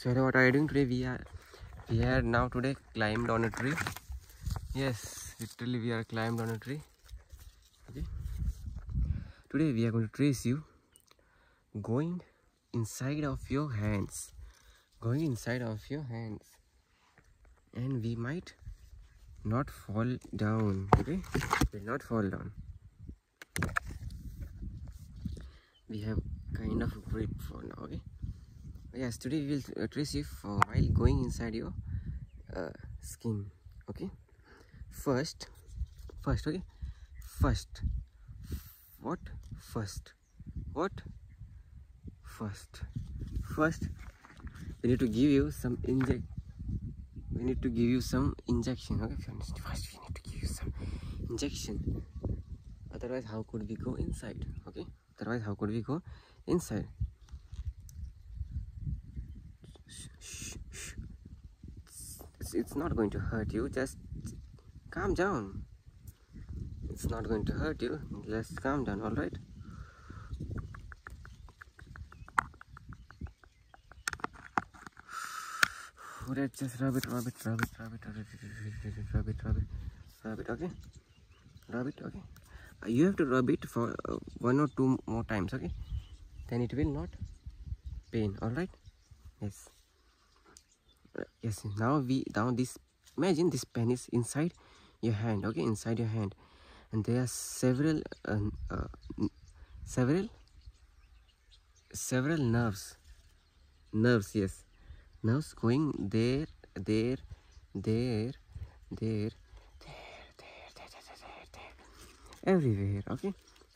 so what are you doing today we are we are now today climb on a tree yes literally we are climbed on a tree okay today we are going to trace you going inside of your hands going inside of your hands and we might not fall down okay we will not fall down we have kind of grip for now okay yes today we will uh, trace you while going inside your uh, skin okay first first okay first what first what first first we need to give you some inject we need to give you some injection okay first we need to give you some injection otherwise how could we go inside okay otherwise how could we go inside it's, it's not going to hurt you just calm down it's not going to hurt you just calm down all right let's just rub it, rub it, rub it, rub it, rub it, rub it, rub it, rub it, okay? Rub it, okay? Uh, you have to rub it for uh, one or two more times, okay? Then it will not pain, alright? Yes. Uh, yes, now we, now this, imagine this pen is inside your hand, okay? Inside your hand. And there are several, several, several nerves nerves yes nerves going there there there there there there there there, everywhere okay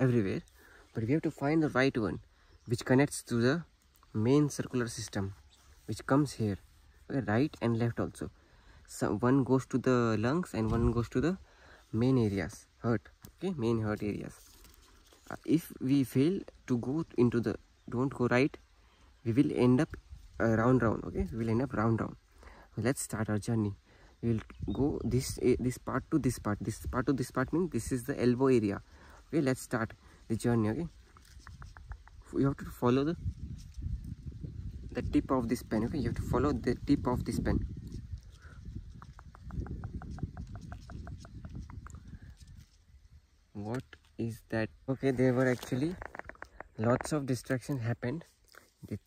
everywhere but we have to find the right one which connects to the main circular system which comes here right and left also so one goes to the lungs and one goes to the main areas hurt okay main hurt areas uh, if we fail to go into the don't go right we will end up uh, round round okay we will end up round round let's start our journey we will go this eh, this part to this part this part to this part means this is the elbow area okay let's start the journey okay you have to follow the the tip of this pen okay you have to follow the tip of this pen what is that okay there were actually lots of destruction happened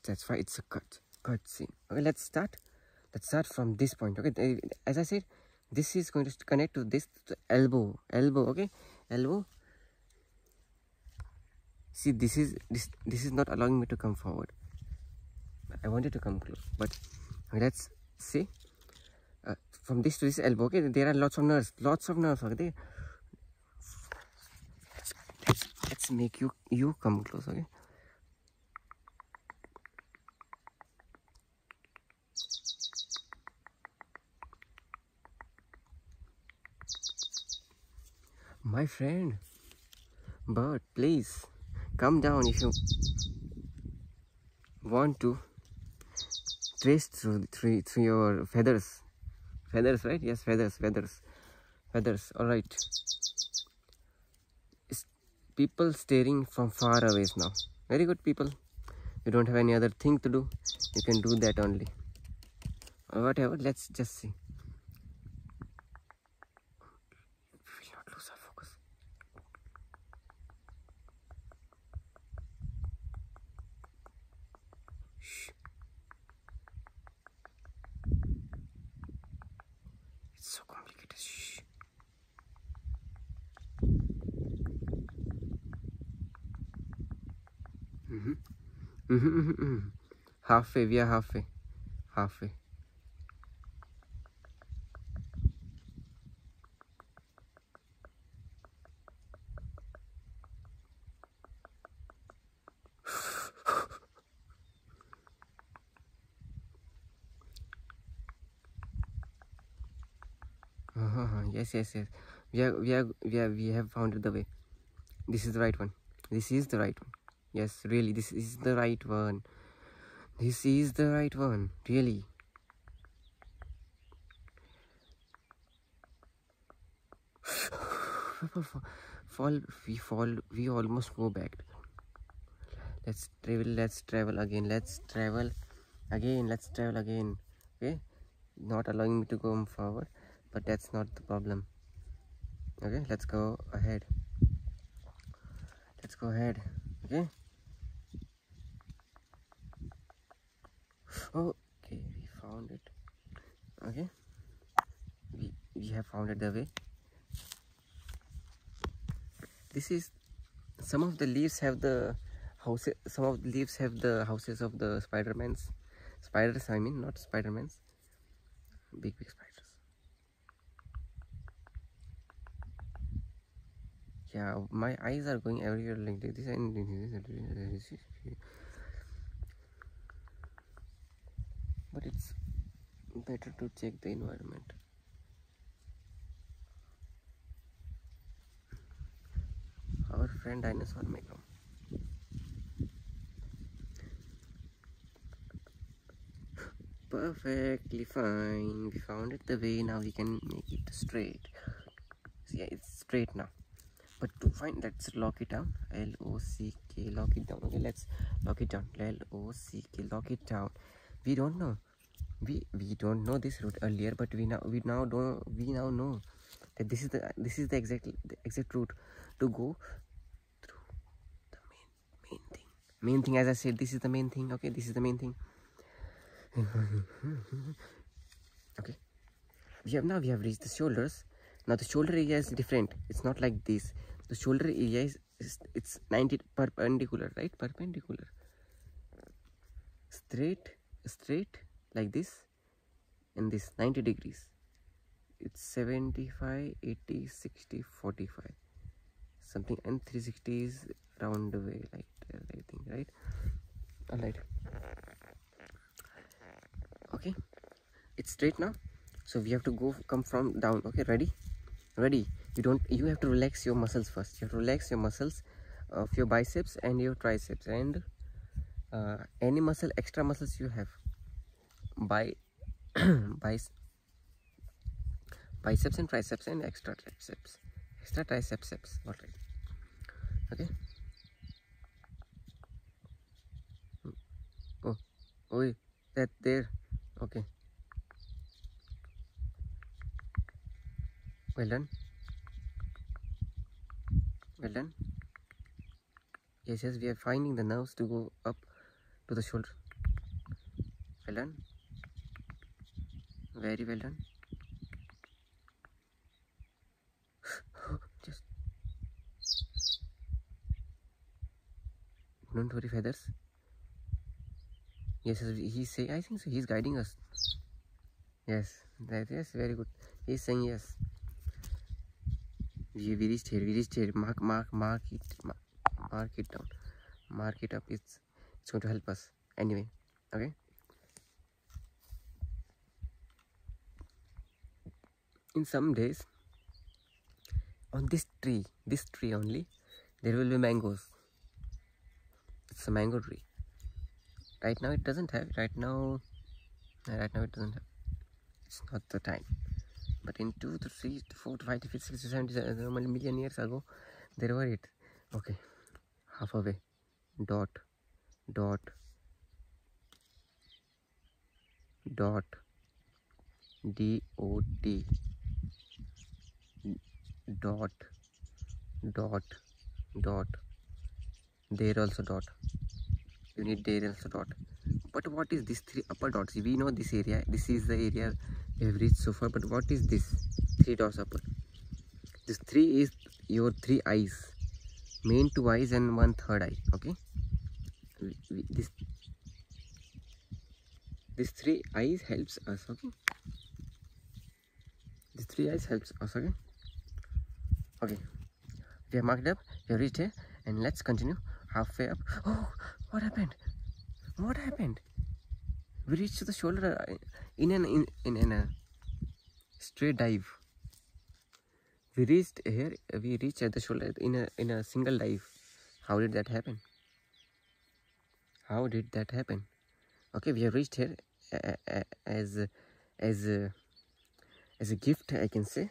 that's why it's a cut cut scene okay let's start let's start from this point okay as i said this is going to connect to this elbow elbow okay elbow see this is this this is not allowing me to come forward i wanted to come close but let's see uh, from this to this elbow okay there are lots of nerves lots of nerves okay let's, let's make you you come close okay my friend bird please come down if you want to trace through through, through your feathers feathers right yes feathers feathers feathers all right people staring from far away now very good people you don't have any other thing to do you can do that only whatever let's just see Shh. It's so complicated. Shh. Mm-hmm. Mm-hmm. mm-hmm, mm-hmm. Halfway, we halfway. Halfway uh -huh. Uh-huh. yes yes yes we are we are we are we have found the way this is the right one this is the right one yes really this is the right one this is the right one really people fall we fall we almost go back let's travel let's travel again let's travel again let's travel again okay not allowing me to go forward but that's not the problem okay let's go ahead let's go ahead okay okay we found it okay we, we have found it the way this is some of the leaves have the houses some of the leaves have the houses of the spider-man's spiders i mean not spider-man's big big spiders yeah my eyes are going everywhere like this and this but it's better to check the environment our friend dinosaur may come perfectly fine we found it the way now we can make it straight yeah, it's straight now but to find let's lock it down L O C K lock it down okay let's lock it down L O C K lock it down we don't know we we don't know this route earlier but we now we now don't we now know that this is the this is the exact the exact route to go through the main main thing main thing as I said this is the main thing okay this is the main thing okay we have now we have reached the shoulders now the shoulder area is different it's not like this the shoulder area is, it's 90 perpendicular right perpendicular straight straight like this and this 90 degrees it's 75 80 60 45 something and 360 is round way like that uh, i think right all right okay it's straight now so we have to go come from down okay ready ready you don't you have to relax your muscles first you have to relax your muscles of your biceps and your triceps and uh, any muscle extra muscles you have Bice, biceps biceps and triceps and extra triceps extra triceps all right Okay. Oh, oh, that there. Okay. Well done. Well done. Yes, yes, we are finding the nerves to go up to the shoulder. Well done. Very well done. Just don't worry, feathers. Yes, he's saying. I think so. He's guiding us. Yes, that is very good. He's saying yes. We, we reached here. We reached here. Mark, mark, mark it, mark, mark it down, mark it up. It's it's going to help us anyway. Okay. in some days on this tree this tree only there will be mangoes it's a mango tree right now it doesn't have right now right now it doesn't have it's not the time but in 2 to 3 to 4 to 5 to 6 to 7 to 7 million years ago there were it okay half away dot dot dot dot dot dot dot there also dot you need there also dot but what is this three upper dots we know this area this is the area we have reached so far but what is this three dots upper this three is your three eyes main two eyes and one third eye okay this this three eyes helps us okay this three eyes helps us okay we have marked up we reached here and let's continue halfway up oh what happened what happened we reached the shoulder uh, in an in, in, uh, straight dive we reached here we reached at the shoulder in a in a single dive how did that happen how did that happen okay we have reached here as as as a gift i can say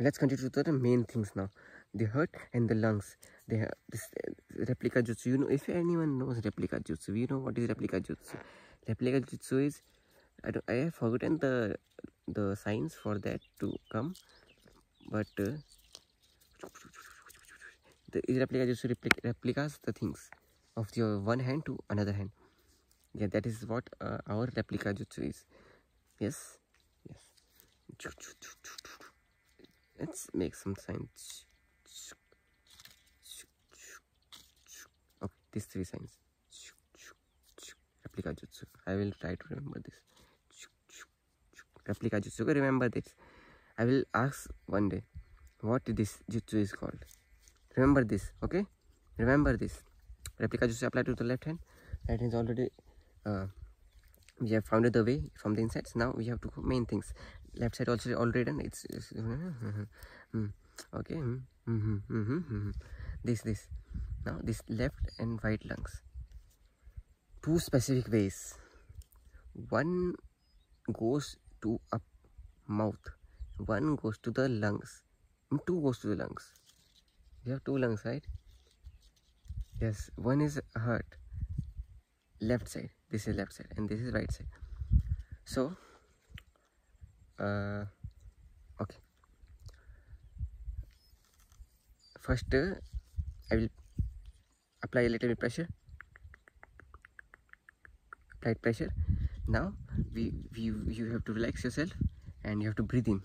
let's continue to the main things now the heart and the lungs they have this uh, replica jutsu you know if anyone knows replica jutsu we know what is replica jutsu replica jitsu is I, I have forgotten the the signs for that to come but uh, the replica jitsu replic replicas the things of your one hand to another hand yeah that is what uh, our replica jutsu is yes yes let's make some signs Okay, these three signs. Replica Jutsu. I will try to remember this. Replica Jutsu. Remember this. I will ask one day what this Jutsu is called. Remember this, okay? Remember this. Replica Jutsu applied to the left hand. That is already... Uh, we have founded the way from the insides now we have to main things left side also already done it's, mm-hmm okay mm -hmm, mm -hmm, mm -hmm. this this now this left and right lungs two specific ways one goes to up mouth one goes to the lungs mm, two goes to the lungs you have two lungs right yes one is heart left side this is left side and this is right side so uh, okay first I will apply a little bit pressure Apply pressure now we, we you have to relax yourself and you have to breathe in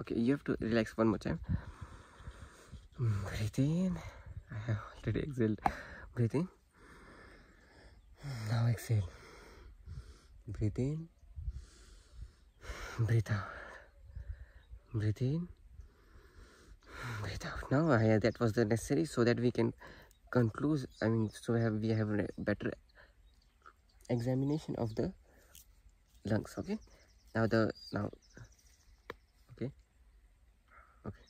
okay you have to relax one more time breathe in i have already exhaled breathe in now exhale breathe in breathe out breathe in breathe out now yeah, that was the necessary so that we can conclude i mean so have we have better examination of the lungs okay now the now okay okay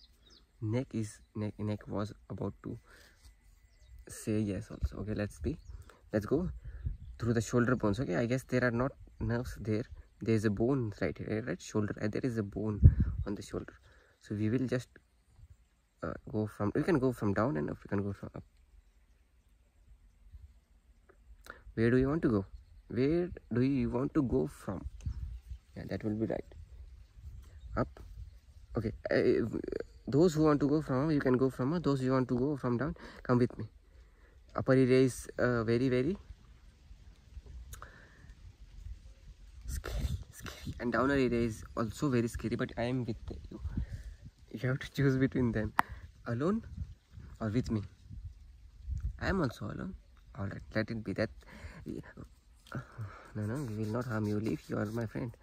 neck is neck neck was about to say yes also okay let's be let's go through the shoulder bones okay i guess there are not nerves there there's a bone right here right shoulder there is a bone on the shoulder so we will just uh, go from We can go from down and up you can go from up where do you want to go where do you want to go from yeah that will be right up okay those who want to go from you can go from those who want to go from down come with me upper area is uh, very very scary and downer area is also very scary but i am with you you have to choose between them alone or with me i am also alone all right let it be that no no we will not harm you if you are my friend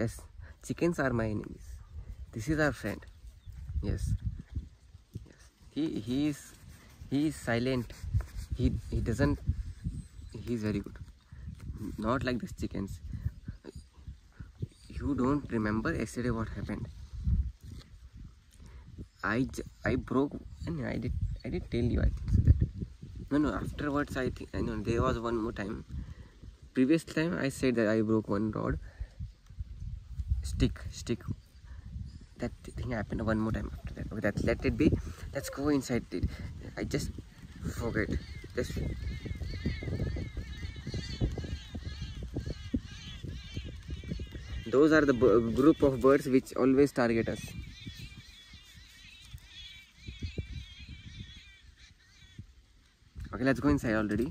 yes chickens are my enemies this is our friend yes yes he he is he is silent he he doesn't he is very good not like these chickens you don't remember yesterday what happened i i broke and i did i did tell you i think that no no afterwards i think i know there was one more time previous time i said that i broke one rod stick stick that thing happened one more time after that okay that let it be let's go inside it i just forget those are the group of birds which always target us okay let's go inside already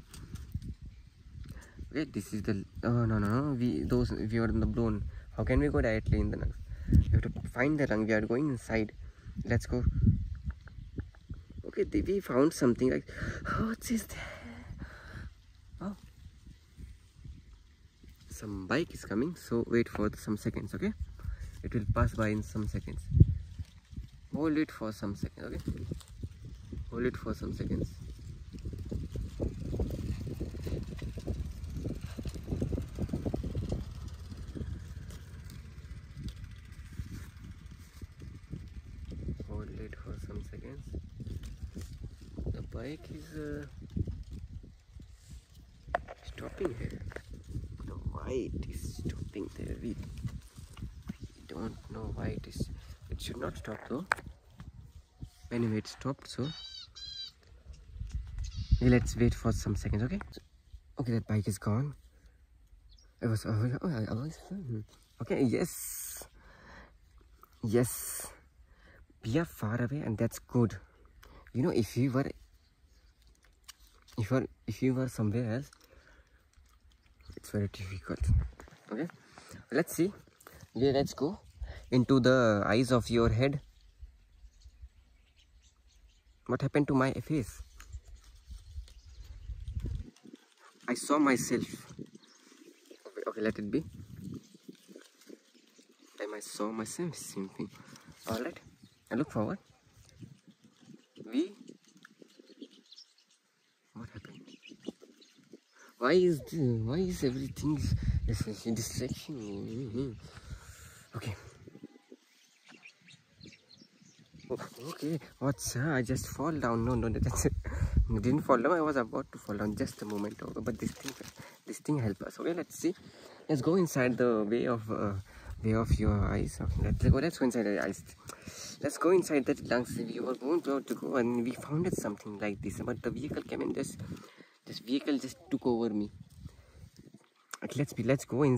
okay this is the oh no no no we those we are in the blown how can we go directly in the lungs we have to find the lung we are going inside let's go Okay, we found something like, oh, what is that? Oh, some bike is coming, so wait for some seconds, okay? It will pass by in some seconds. Hold it for some seconds, okay? Hold it for some seconds hold it for some seconds the bike is uh, stopping here the white is stopping there we, we don't know why it is it should not stop though anyway it stopped so let's wait for some seconds okay okay that bike is gone it was oh, oh, hmm. okay. Yes, yes. We are far away, and that's good. You know, if you were, if you were, if you were somewhere else, it's very difficult. Okay, let's see. Let's go into the eyes of your head. What happened to my face? I saw myself. Okay, let it be. Time I saw myself simply. Alright, I look forward. We. What happened? Why is the, why is everything distraction? Hmm, hmm. Okay. Oh, okay what's uh, i just fall down no no that's it. didn't fall down i was about to fall down just a moment ago but this thing this thing help us okay let's see let's go inside the way of uh, way of your eyes okay let's go let's go inside the eyes let's go inside that lungs we were going to go and we found something like this but the vehicle came in this this vehicle just took over me okay, let's be let's go in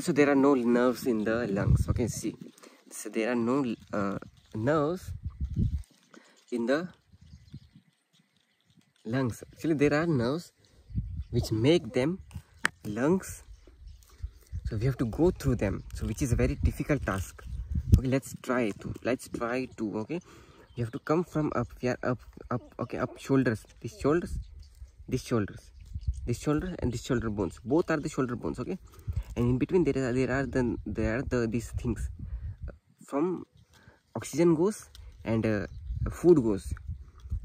so there are no nerves in the lungs. Okay, see. So there are no uh, nerves in the lungs. Actually, there are nerves which make them lungs. So we have to go through them. So which is a very difficult task. Okay, let's try to. Let's try to. Okay, you have to come from up. We are up, up. Okay, up shoulders. These shoulders these shoulders these shoulder and these shoulder bones both are the shoulder bones okay and in between there are there are the there are the these things from oxygen goes and uh, food goes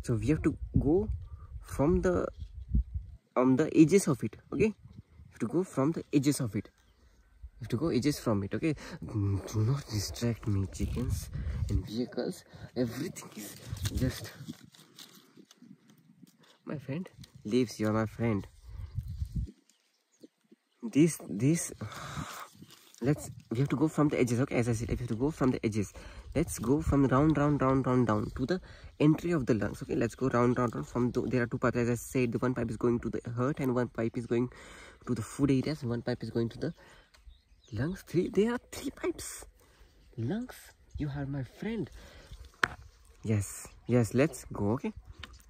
so we have to go from the on the edges of it okay have to go from the edges of it you have to go edges from it okay do not distract me chickens and vehicles everything is just my friend, leaves, you are my friend. This, this, let's, we have to go from the edges, okay? As I said, we have to go from the edges. Let's go from the round, round, round, round, down to the entry of the lungs, okay? Let's go round, round, round from, there are two pipes, as I said, the one pipe is going to the heart and one pipe is going to the food areas one pipe is going to the lungs. Three, there are three pipes. Lungs, you are my friend. Yes, yes, let's go, okay?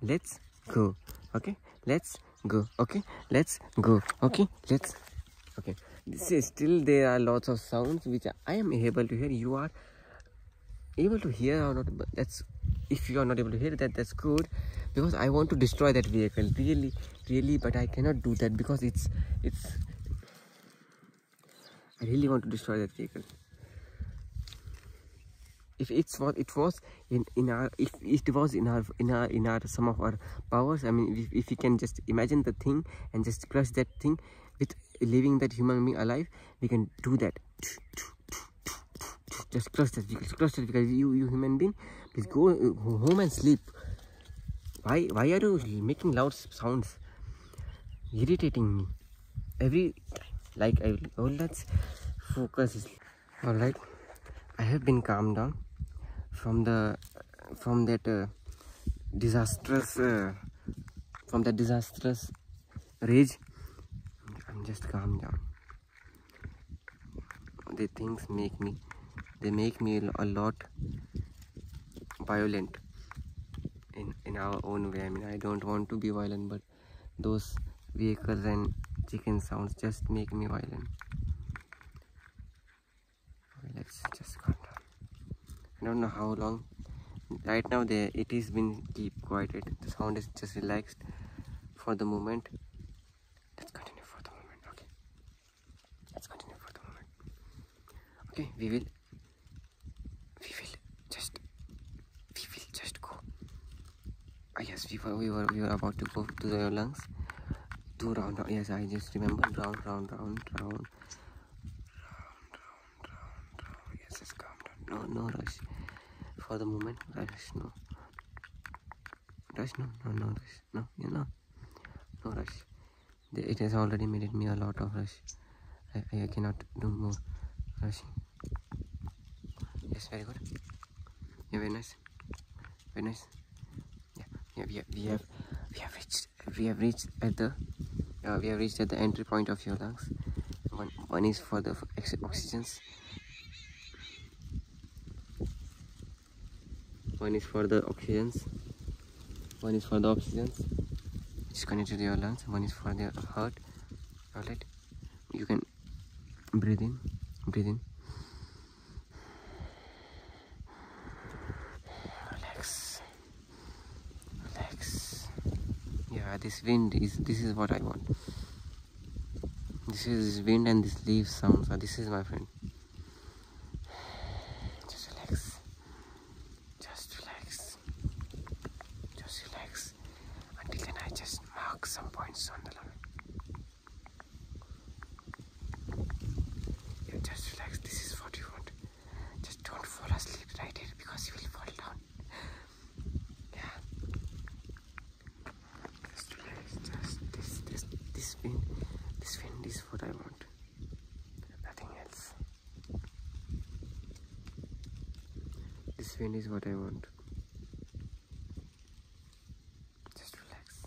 Let's go, okay? Let's go, okay? Let's go, okay? Let's, okay. still there are lots of sounds which I am able to hear. You are able to hear or not, that's, if you are not able to hear that, that's good. Because I want to destroy that vehicle, really, really, but I cannot do that because it's, it's, I really want to destroy that vehicle. If it's what it was in in our if it was in our in our in our some of our powers, I mean, if, you can just imagine the thing and just crush that thing with leaving that human being alive, we can do that. Just crush that vehicle, crush that vehicle. You you human being, please go uh, home and sleep. Why, why are you making loud sounds? Irritating me. Every time. Like, I will, oh, let's focus. Alright. I have been calmed down from the, from that uh, disastrous, uh, from that disastrous rage. I'm just calmed down. The things make me, they make me a lot violent in, in our own way. I mean, I don't want to be violent, but those vehicles and chicken sounds just make me violent. let's just calm I don't know how long. Right now, there it is being deep quieted. The sound is just relaxed for the moment. Let's continue for the moment. Okay. Let's continue for the moment. Okay, we will we will just we will just go uh, yes we were, we were we were about to go to the lungs do round, round yes i just remember round round round round Yes, calm down. No, no rush. For the moment, rush, no. Rush, no, no, no rush. No, you know. No rush it has already made it me a lot of rush I, cannot do more rushing yes very good yeah very nice very nice yeah yeah we have we have, we have reached we have reached at the uh, we have reached at the entry point of your lungs one, one is for the oxygens one is for the oxygens one is for the oxygen it's connected to your lungs one is for the heart outlet you can breathe in breathe in relax relax yeah this wind is this is what i want this is wind and this leaf sounds this is my friend just relax just relax just relax until then I just mark some points on the line you just relax this is what you want just don't fall asleep right here because you will fall down just relax just this this this wind this wind is what I want nothing else this wind is what I want just relax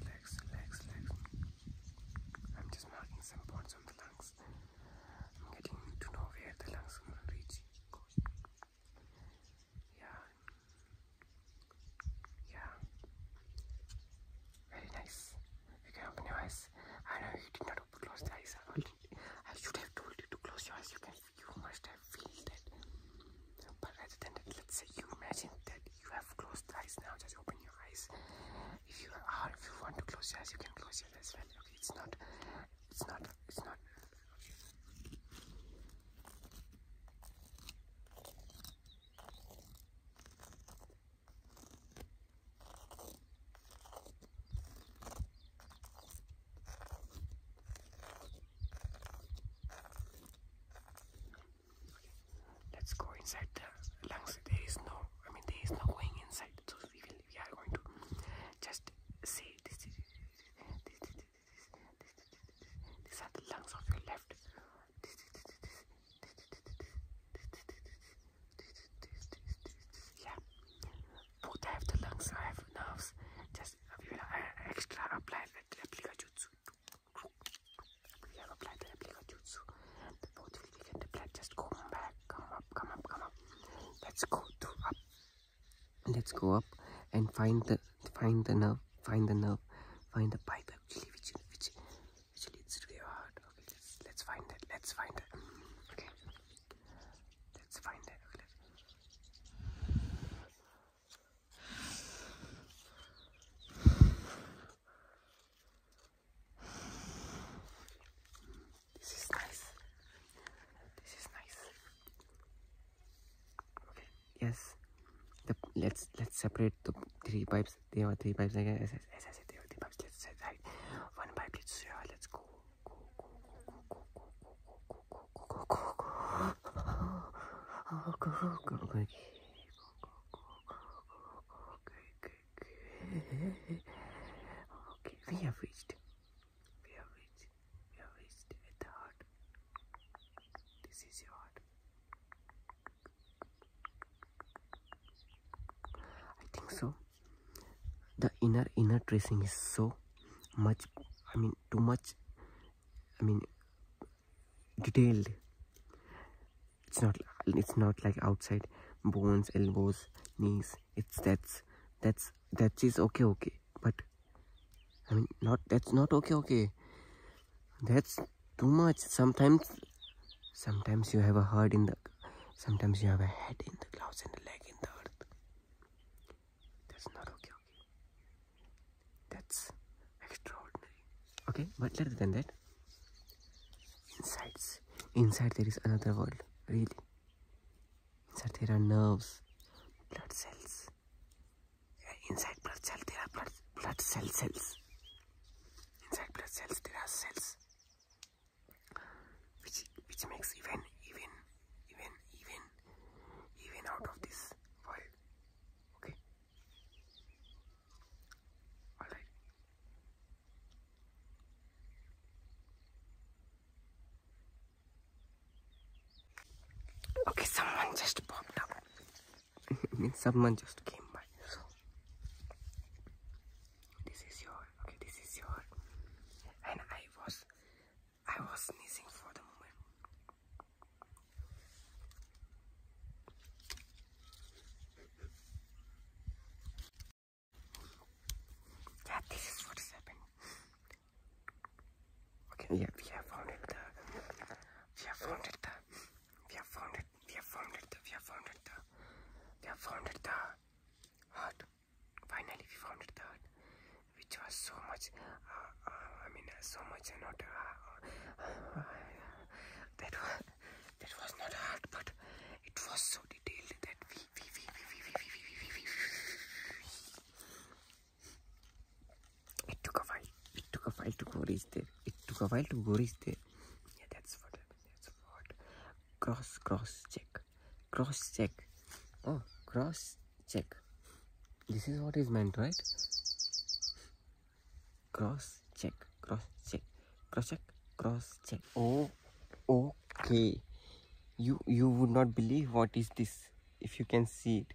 relax relax relax I'm just marking some points on the lungs I'm getting to know where the lungs are going yeah yeah. Very nice. You can open your eyes. I know you did not close the eyes. I, should have told you to close your eyes. You can. You must have felt that. But rather than that, let's say you imagine that you have closed the eyes now. Just open your eyes. If you are, if you want to close your eyes, you can close your eyes. Well, it's not. It's not. It's not. Let's go inside the lungs. There is no, I mean, there is no going inside. So we will, we are going to just say this. This, this, this, this, this, this, this, these are the lungs of your left yeah. Both have the lungs nerves. Just we will extra apply that applica jutsu. We have applied the applica jutsu. The both will be get applied. Just go back, come up, come up, come up. Let's go up. Let's go up and find the find the nerve, find the nerve, find the pipe actually which which let's find it. Let's find it. Okay, let's find it. Okay, this is nice. This is nice. Okay. Yes. let's let's separate the three pipes. pipes, DOT pipes, I guess. I said DOT pipes. Let's say, like, one pipe, let's zero. Let's go. Go, go, go, go, go, go, go, go, go, go, go, go, go, go, go, go, Okay, we have reached. We have reached. We have reached at the heart. This is your heart. I think so. The inner inner tracing is so much. I mean, too much. I mean, detailed. It's not. It's not like outside bones, elbows, knees. It's that's that's that is okay, okay. But I mean, not that's not okay, okay that's too much sometimes sometimes you have a heart in the sometimes you have a head in the clouds and a leg in the earth that's not okay okay that's extraordinary okay but later than that inside, inside there is another world really inside there are nerves blood cells inside blood cell there are blood, blood cell cells Inside blood cells there are cells which which makes even even even even even out of this world. Okay. Alright. Okay, someone just popped up it means someone just came by. So this is your okay. This is your and I was I was sneezing for the moment. Yeah, this is what has Okay, yeah, we have found it. The, uh, we have found it. The, uh, we have found it we have found it, we have found it, we have found it, the heart. Finally, we found it, the heart, which was so much, uh, uh, I mean, so much, uh, not, uh, uh, that, was, that was not hard, but it was so detailed that we, we, we, we, we, we, we, we, we, we, we, it took a while, it took a while to go reach there, it took a while to go reach there yeah that's what that's what cross cross check cross check oh cross check this is what is meant right cross check cross check cross check cross check oh okay you you would not believe what is this if you can see it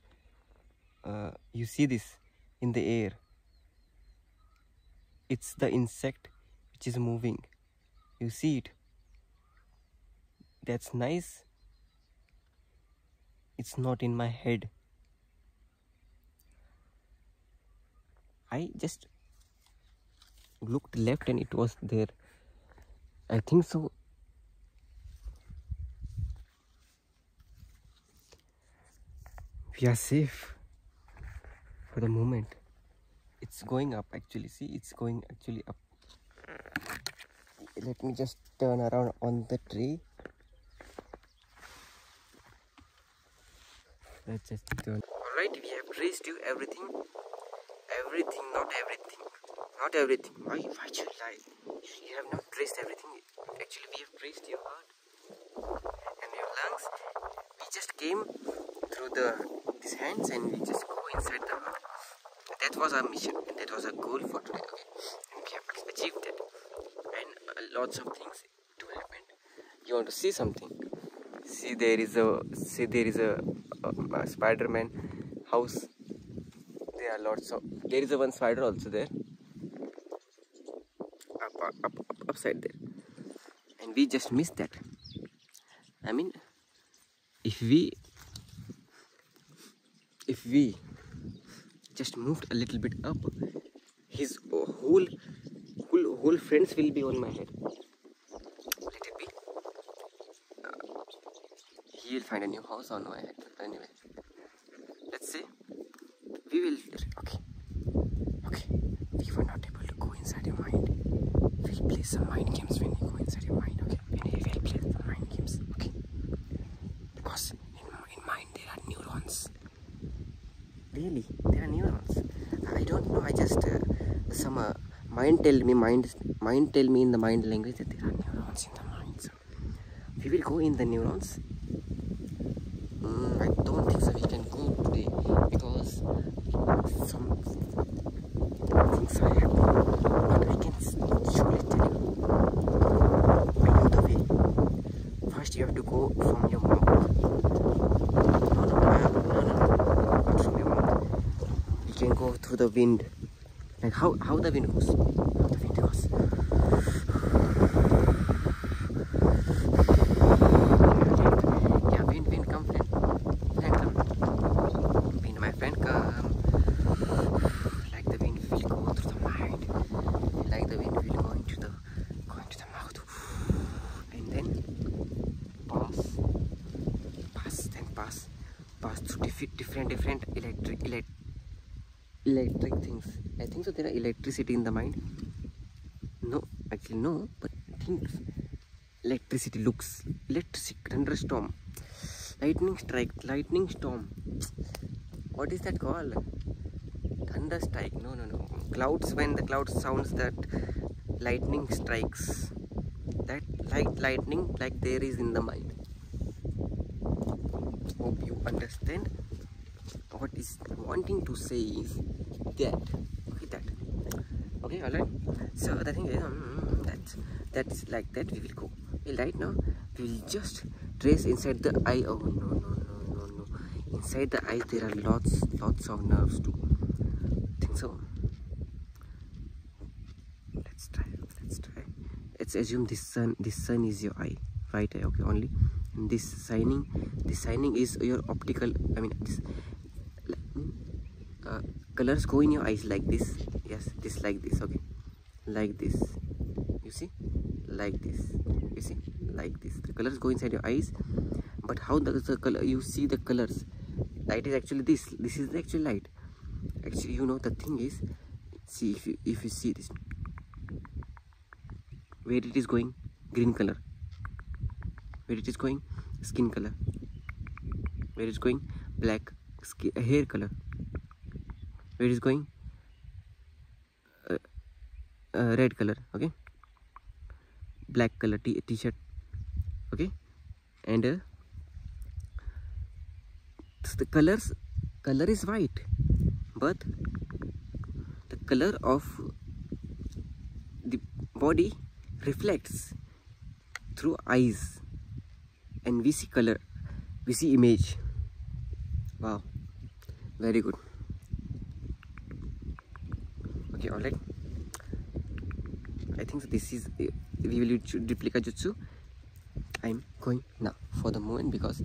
uh, you see this in the air it's the insect which is moving. You see it? That's nice. It's not in my head. I just looked left and it was there. I think so we are safe for the moment it's going up actually see it's going actually up let me just turn around on the tree let's just turn all right we have traced you everything everything not everything not everything why why should you lie you have not traced everything actually we have traced your heart and your lungs we just came through the these hands and we just go inside the heart that was our mission and that was our goal for today okay and we have achieved that and uh, lots of things to happen you want to see something see there is a see there is a, uh, a spider-man house there are lots of there is a one spider also there up, up, up, up, upside there and we just missed that I mean if we if we just moved a little bit up his whole whole whole friends will be on my head let it be uh, he'll find a new house on my head anyway let's see we will okay okay we were not able to go inside your mind we'll play some mind games when you go inside your mind okay and we will play some mind games okay because in, mind there are neurons really there are neurons i don't know i just uh, some uh, mind tell me mind mind tell me in the mind language that there are neurons in the mind we will go in the neurons I don't think so we can go today because some things are happening. But I can not tell it I know the way. First you have to go from your room. No, no, no, no, from your mouth. You can go through the wind. Like how, the wind goes. How the wind goes. क्या pen pen come friend friend come pen my friend come like the wind will go through the mind like the wind will go into the go into the mouth and then pass pass then pass pass through different different different electric elect, electric things i think so there are electricity in the mind no, actually no. but I think electricity looks electricity thunderstorm, lightning strike, lightning storm. What is that called? Thunder strike? No, no, no. Clouds when the clouds sounds that lightning strikes. That like lightning, like there is in the mind. Hope you understand what is wanting to say is that okay that okay all right so the thing is um, that's that's like that we will go okay, right now we will just trace inside the eye oh no no no no no inside the eye there are lots lots of nerves too I think so let's try let's try let's assume this sun this sun is your eye right eye okay only and this signing the signing is your optical i mean this uh, colors go in your eyes like this yes this like this okay like this you see like this you see like this the colors go inside your eyes but how the, the color you see the colors light is actually this this is the actual light actually you know the thing is see if you if you see this where it is going green color where it is going skin color where it's going black uh, hair color where it's going uh, uh, red color okay black color t-shirt okay and the colors color is white but the color of the body reflects through eyes and we see color we see image wow very good okay all right i think this is eh, we will do duplicate jutsu i'm going now for the moment because